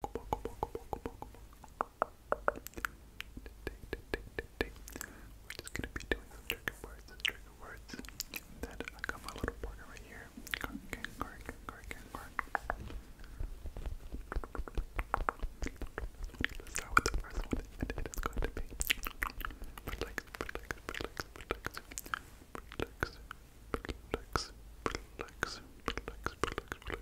We're just gonna be doing trigger words trigger words. then I got my little partner right here. Okay, cork, cork, cork. Let's start with the first one, and it is going to be relax, relax, relax, relax, relax, relax, relax, relax, relax, relax, relax.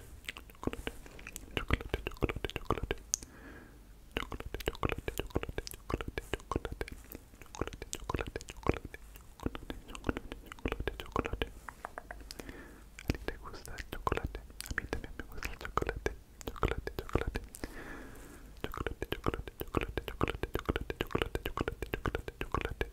chocolate, chocolate, chocolate, chocolate, chocolate, chocolate, chocolate, chocolate, chocolate, chocolate, chocolate, chocolate, chocolate. Chocolate, chocolate, chocolate. A ti te gusta el chocolate. A mí también me gusta el chocolate. Chocolate, chocolate. Chocolate, chocolate, chocolate, chocolate, chocolate, chocolate, chocolate, chocolate, chocolate,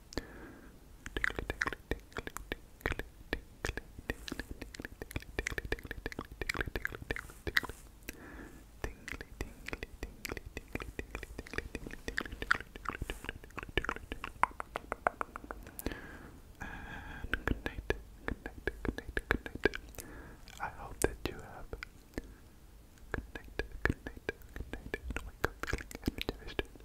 Tickly, tickly, tickly, tickly, I hope that you have good night, good night, good night, and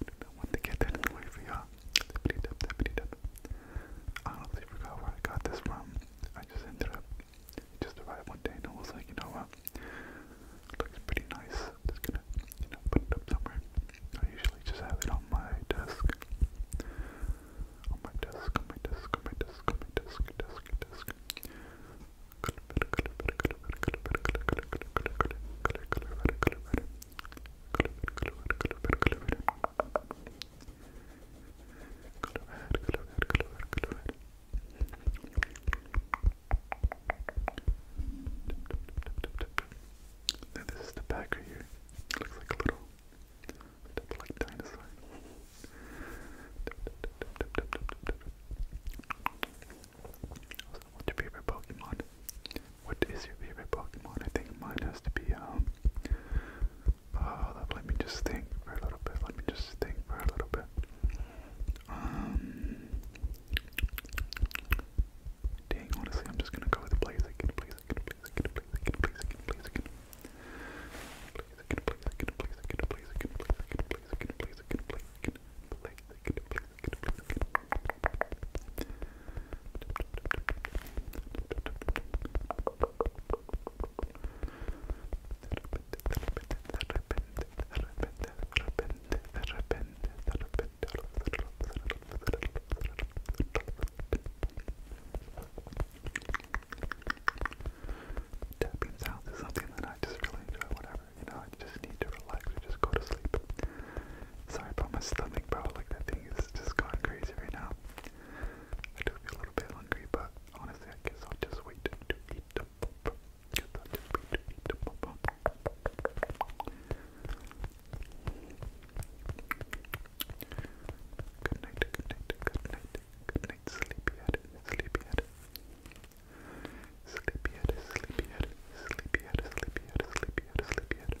I do not want to get that in the way I honestly forgot where I got this from. I just ended up, just arrived one day and was like, you know what? looks pretty nice. just gonna, you know, put it up somewhere. I usually just have it on my desk. On my desk, on my desk, on my desk, on my desk, desk, desk. Color, color, color, color, color, color, now this is the back here. looks like a little like dinosaur. What's your favorite Pokemon? What is your favorite Pokemon? I think mine has to be, um, uh, let me just think for a little bit, let me just think for a little bit. Um, honestly, I'm just gonna go with Blaziken, Blaziken. Blaziken, Blaziken, Blaziken, Blaziken, Blaziken, Blaziken, Blaziken, Blaziken, Blaziken, Blaziken, Tapping sounds is something that I just really enjoy, whatever. You know, I just need to relax and just go to sleep. Sorry about my stomach, bro. Like that thing is just going crazy right now. I do feel a little bit hungry, but honestly, I guess I'll just wait to eat the pop. Guess I'll just wait to eat the pop. Good night, good night, good night, good night, sleepyhead, sleepyhead. Sleepyhead, sleepyhead, sleepyhead, sleepyhead, sleepyhead, sleepyhead.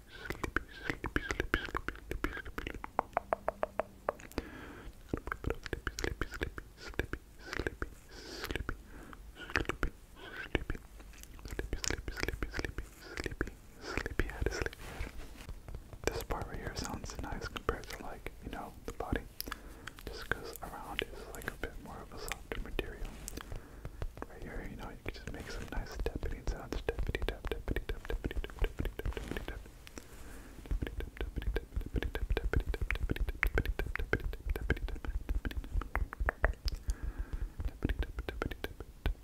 This part right here sounds nice compared to like, you know, the body. Just because around is like a bit more of a softer material right here, you know, you can just make some nice tappity sounds. Tappity tap, tappity tap, tappity tap, tappity tap, tappity tap. Tappity tap, tappity tap, tappity tap, tappity tap, tappity tap, tappity tap, tappity tap, tappity tap, tappity tap. Tappity tap, tappity tap, tappity tap, tappity tap.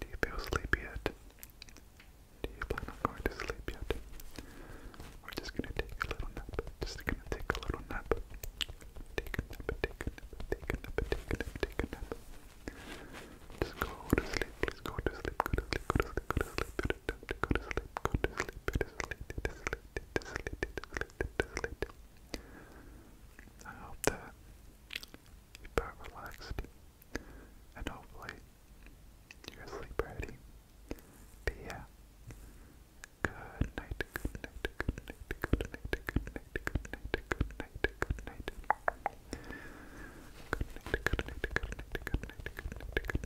Do you feel sleepy yet? Do you plan on going to sleep yet? We're just gonna take a little nap. Just gonna take a little nap. Take a nap, take a nap, take a nap, take a nap, take a nap. Just go to sleep, please go to sleep, go to sleep, go to sleep, go to sleep, go to sleep, go to sleep, go to sleep, go to sleep, go to sleep, go to sleep, go to sleep. I hope that you felt relaxed and hopefully you're asleep already. But yeah, good night, good night, good night, good night, good night, good night, good night, good night. Good night, good night, good night, good night, good night, good night, good night.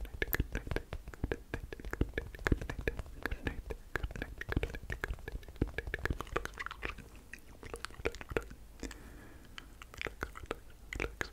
Relax,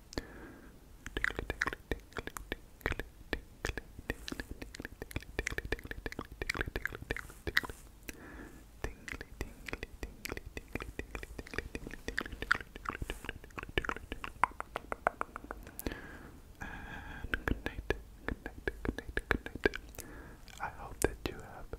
And good night, good night, good night, good night. I hope that you have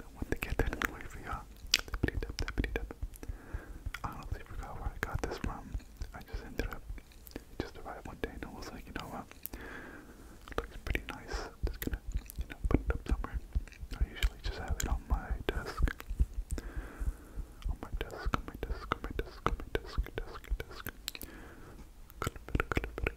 I want to get that anyway for y'all. I honestly forgot where I got this from. I just ended up just arrived one day and I was like, you know what? Looks pretty nice. just gonna, you know, put it up somewhere. I usually just have it on my desk. On my desk, on my desk, on my desk, on my desk, desk, desk. Color, color, color,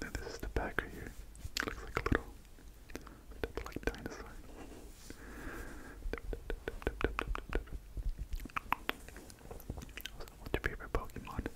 now this is the back here. Looks like a little like dinosaur. What's your favorite Pokemon?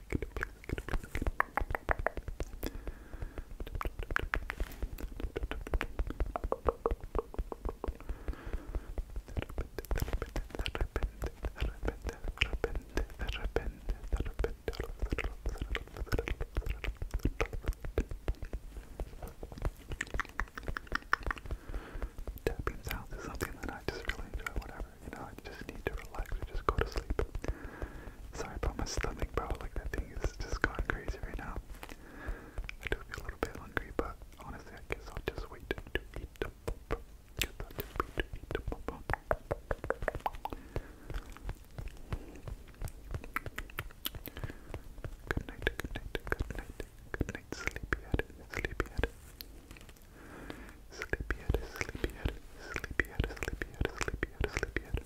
Tapping sounds is something that I just really enjoy whenever, you know, I just need to relax and just go to sleep. Sorry about my stomach, bro. Like that thing is just going crazy right now. I do feel a little bit hungry, but honestly, I guess I'll just wait Good night, good night, good night, good night, sleepyhead, sleepyhead. Sleepyhead, sleepyhead, sleepyhead, sleepyhead, sleepyhead, sleepyhead.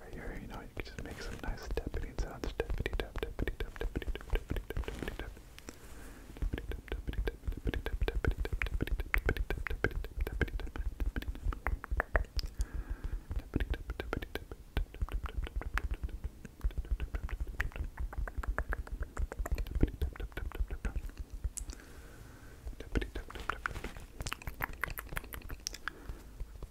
Right here, you know, you can just make some nice tappity sounds. Tappity tap, tappity tap, tappity tap, tappity tap, tappity tap. Tappity tap, tappity tap, tappity tap, tappity tap, tappity tap, tappity tap, tappity tap, tappity tap, tappity tap. Tappity tap, tappity tap, tap tap tap tap tap tap tap tap.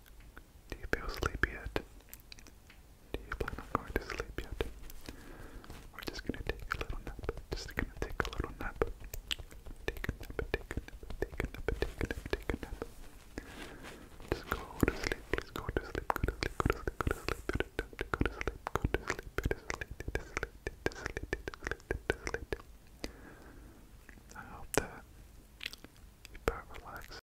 Do you feel sleepy yet? Do you plan on going to sleep yet? We're just gonna take a little nap. Just gonna take a little nap. Take a nap, take a nap, take a nap, take a nap, take a nap. Just go to sleep, please go to sleep, go to sleep, go to sleep, go to sleep, go to sleep, go to sleep, go to sleep, go to sleep, go to sleep, go to sleep, I hope that you felt relaxed.